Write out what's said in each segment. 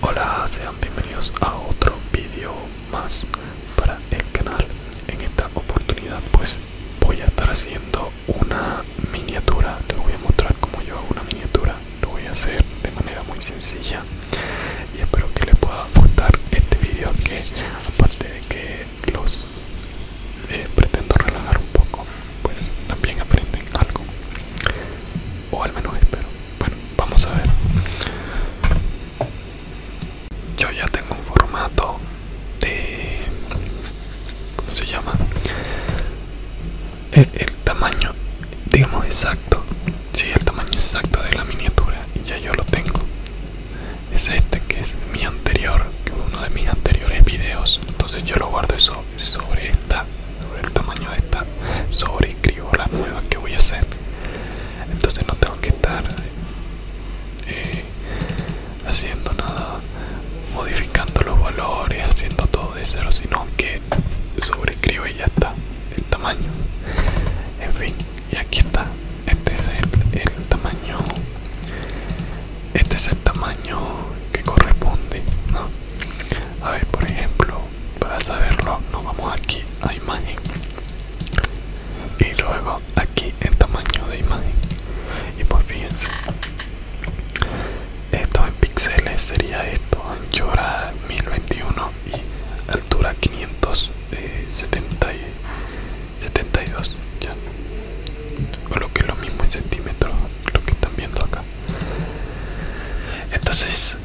Hola, sean bienvenidos a otro vídeo más para el canal. En esta oportunidad pues voy a estar haciendo una miniatura. Les voy a mostrar cómo yo hago una miniatura. Lo voy a hacer de manera muy sencilla y espero que les pueda gustar este vídeo que aparte de que los eh, pretendo relajar un poco, pues también aprenden algo. O al menos espero. Bueno, Vamos a ver. Yo ya tengo un formato de... ¿Cómo se llama? El, tamaño, digamos, exacto. si el tamaño exacto de la miniatura. Ya yo lo tengo. Es este que es mi anterior, uno de mis anteriores videos. Entonces yo lo guardo eso sobre esta el tamaño de esta escribo la nueva que voy a hacer entonces no tengo que estar eh, haciendo nada modificando los valores haciendo todo de cero sino que sobreescribo y ya está el tamaño en fin y aquí está este es el, el tamaño este es el tamaño que corresponde ¿no? a ver por ejemplo para saberlo nos vamos aquí a imagen y luego aquí en tamaño de imagen y pues fíjense esto en píxeles sería esto anchura 1021 y altura 572 eh, ya lo que es lo mismo en centímetros lo que están viendo acá entonces,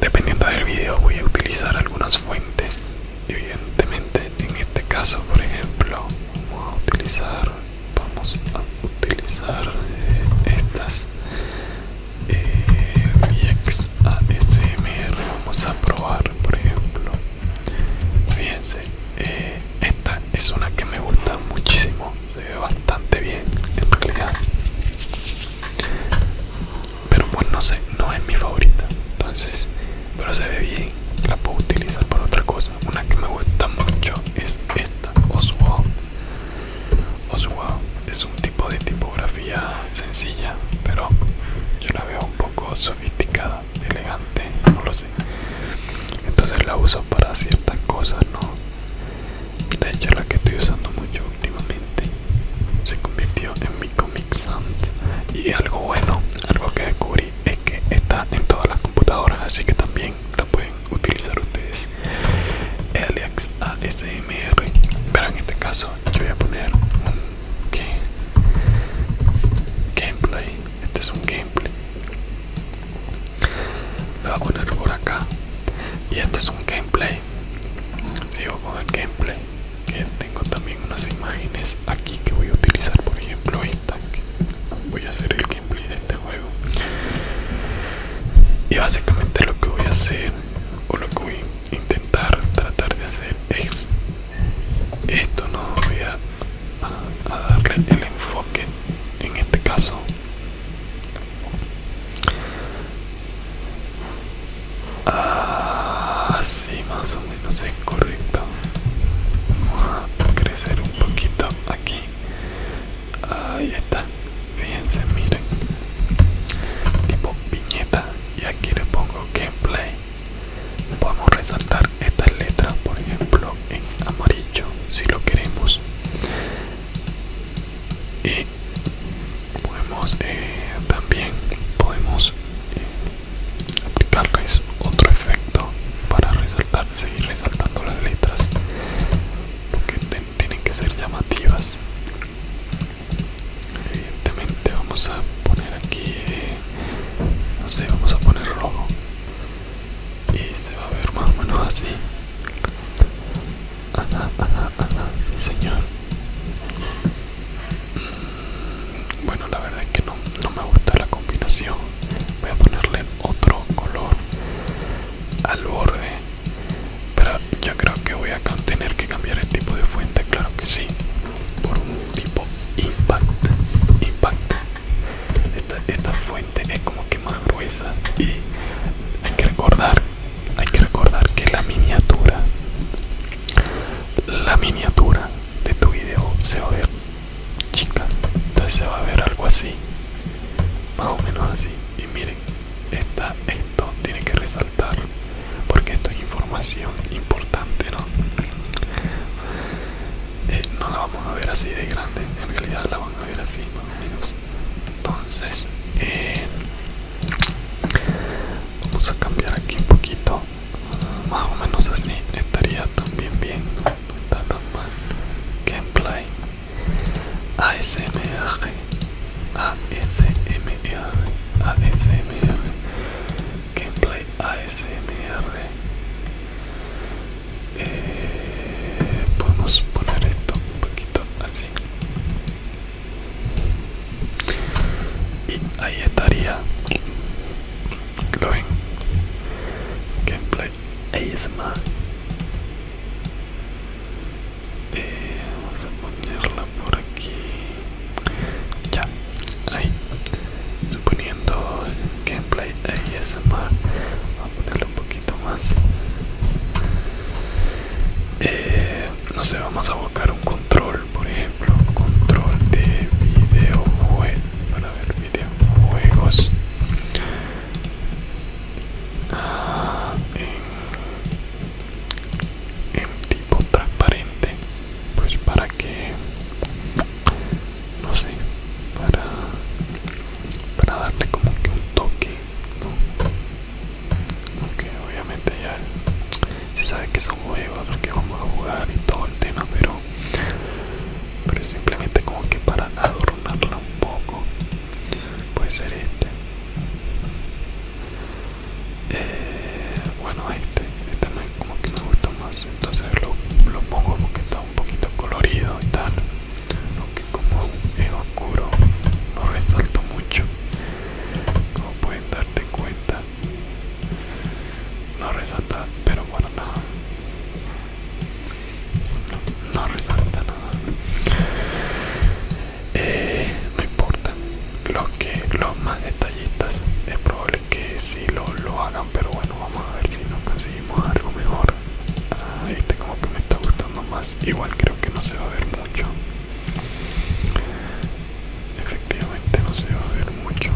dependiendo del video, voy a utilizar algunas fuentes. Evidentemente, en este caso, por ejemplo, vamos a utilizar, vamos a utilizar eh, estas eh, Vamos a probar, por ejemplo. Fíjense, eh, esta es una que me gusta muchísimo se ve bastante bien en realidad pero bueno, no sé no es mi favorita entonces pero se ve bien la puedo utilizar para otra cosa una que me gusta mucho es esta Oswald Oswald es un tipo de tipografía sencilla pero yo la veo un poco sofisticada elegante no lo sé entonces la uso para ciertas cosas no de hecho la que estoy usando mucho últimamente se convirtió en mi Comic Sans y algo bueno algo que descubrí es que está en todas las computadoras así que también la pueden utilizar ustedes Alex ASMR pero en este caso yo voy a poner un gameplay este es un gameplay lo voy a poner por acá y este es un gameplay sigo con el gameplay que tengo también unas imágenes aquí que voy a utilizar por ejemplo esta voy a hacer el gameplay de este juego y básicamente lo que voy a hacer o lo que voy a intentar tratar de hacer es esto no voy a darle el enfoque en este caso Así ah, más o menos es correcto. Vamos a crecer un poquito aquí. Ahí está. Fíjense, miren. Tipo viñeta. Y aquí le pongo gameplay. Podemos resaltar estas letras, por ejemplo, en amarillo, si lo queremos y podemos eh, también podemos eh, aplicar aplicarles otro efecto para resaltar seguir resaltando las letras porque tienen que ser llamativas evidentemente vamos a poner aquí eh, no sé vamos a poner rojo y se va a ver más o menos así ah, ah, ah, señor mm, bueno la verdad es que no, no me gusta la combinación voy a ponerle otro color al borde pero yo creo que voy a tener que cambiar el tipo de fuente claro que sí por un tipo impact impact esta, fuente es como que más gruesa y hay que recordar hay que recordar que la miniatura la miniatura de tu video se va a ver chica entonces se va a ver algo así más o menos así y miren esta, esto tiene que resaltar porque esto es información importante no eh, no la vamos a ver así de grande en realidad la van a ver así entonces eh, vamos a cambiar aquí un poquito más o menos así estaría también bien no está tan mal gameplay ASMR ASMR ASMR gameplay ASMR eh, podemos poner esto un poquito así y ahí estaría lo ven gameplay ASMR eh, vamos a ponerla por aquí ya ahí suponiendo gameplay ASMR ponerle un poquito más eh, no sé vamos a buscar un control por ejemplo control de videojuegos para ver videojuegos ah, en tipo transparente pues para que no sé para para darle como que un toque obviamente ya se sabe que son juegos que vamos a jugar y todo el tema pero pero simplemente como que para adornarla un poco puede ser este eh, bueno este este es como que me gusta más entonces lo, lo pongo porque está un poquito colorido y tal aunque como es oscuro no resalto mucho como pueden darte cuenta no resalta pero bueno nada no, resalta nada eh, no importa los que los más detallistas es probable que si sí lo, hagan pero bueno vamos a ver si no consiguen algo mejor ah, este como que me está gustando más igual creo que no se va a ver mucho efectivamente no se va a ver mucho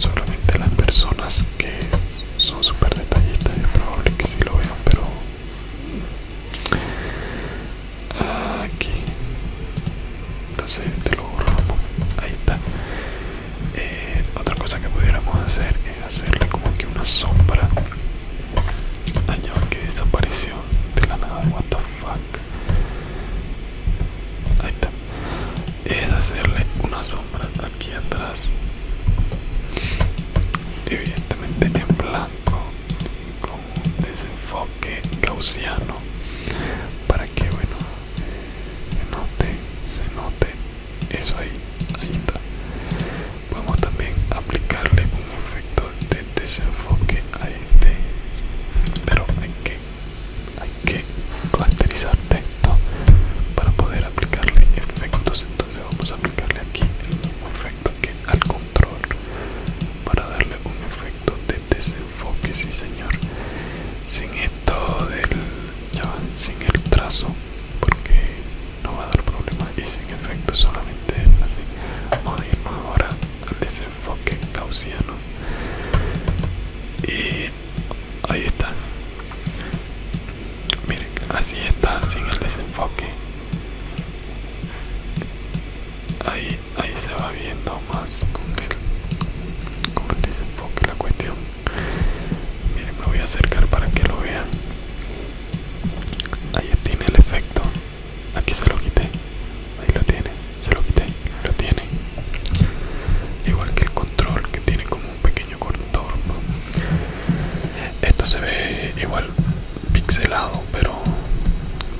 solamente las personas que son súper detallistas es probable que sí lo vean pero ah, aquí entonces te lo borramos ahí está eh, otra cosa que pudiéramos hacer es hacerle como que una sombra allá que desapareció de la nada. What the fuck? Ahí está. Es hacerle una sombra aquí atrás. Evidentemente en blanco con un desenfoque gaussiano para que bueno se note eso ahí, ahí está. Podemos también aplicarle un efecto de desenfoque a este, pero hay que, hay que caracterizar texto para poder aplicarle efectos. Entonces vamos a aplicarle aquí el mismo efecto que al control para darle un efecto de desenfoque, sí señor. Sin esto del ya va sin el trazo porque no va a dar problema y sin efecto solamente así vamos a ahora al desenfoque gaussiano y ahí está miren así está sin el desenfoque ahí ahí se va viendo más con con el desenfoque la cuestión Miren, me voy a acercar para que lo vean. Ahí tiene el efecto. Aquí se lo quité. Ahí lo tiene. Se lo quité. Lo tiene. Igual que el control que tiene como un pequeño contorno. Esto se ve igual pixelado, pero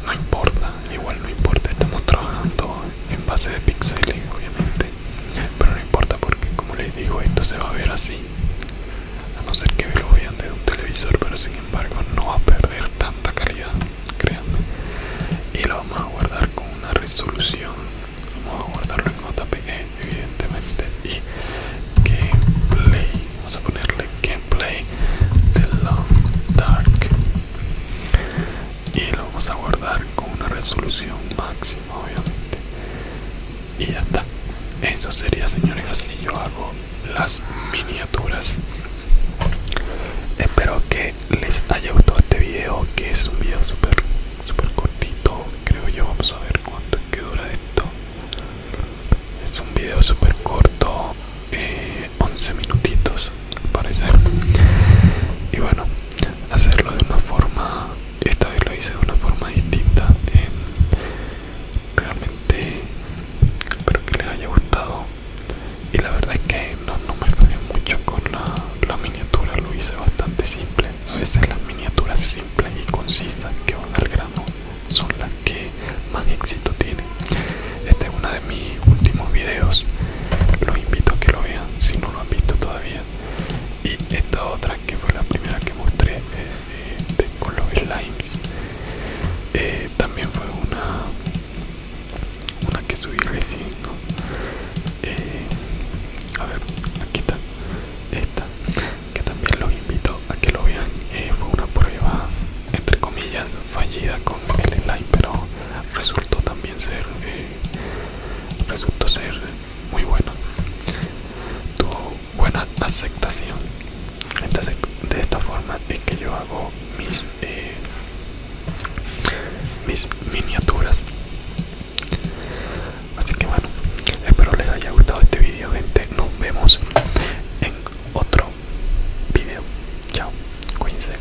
no importa. Igual no importa. Estamos trabajando en base de píxeles obviamente pero no importa porque como les digo esto se va a ver así a no ser que lo vean desde un televisor pero sin embargo no va a perder tanta calidad créanme y lo vamos a guardar con una resolución vamos a guardarlo en JPE, evidentemente y gameplay vamos a ponerle gameplay de long dark y lo vamos a guardar con una resolución máxima obviamente y ya está eso sería señores así yo hago las miniaturas espero que les haya gustado este video que es un video súper super cortito creo yo vamos a ver cuánto que dura esto es un video súper corto 11 eh, minutitos parecer y bueno hacerlo de una forma esta vez lo hice de una forma distinta realmente espero que les haya gustado y la verdad es que no, me fallé mucho con la, miniatura lo hice bastante simple a veces las miniaturas simples y concisas que van al grano son las que más éxito tienen esta es una de mis últimos videos los invito a que lo vean si no lo han visto todavía y esta otra que fue la primera que mostré eh, con los slimes eh, también fue una una que subí recién eh, a ver aquí está esta que también los invito a que lo vean fue una prueba entre comillas fallida con el slime pero resultó también ser resultó ser muy bueno tuvo buena aceptación entonces de esta forma es que yo hago mis eh, mis miniaturas así que bueno espero les haya gustado este video gente nos vemos en otro video chao cuídense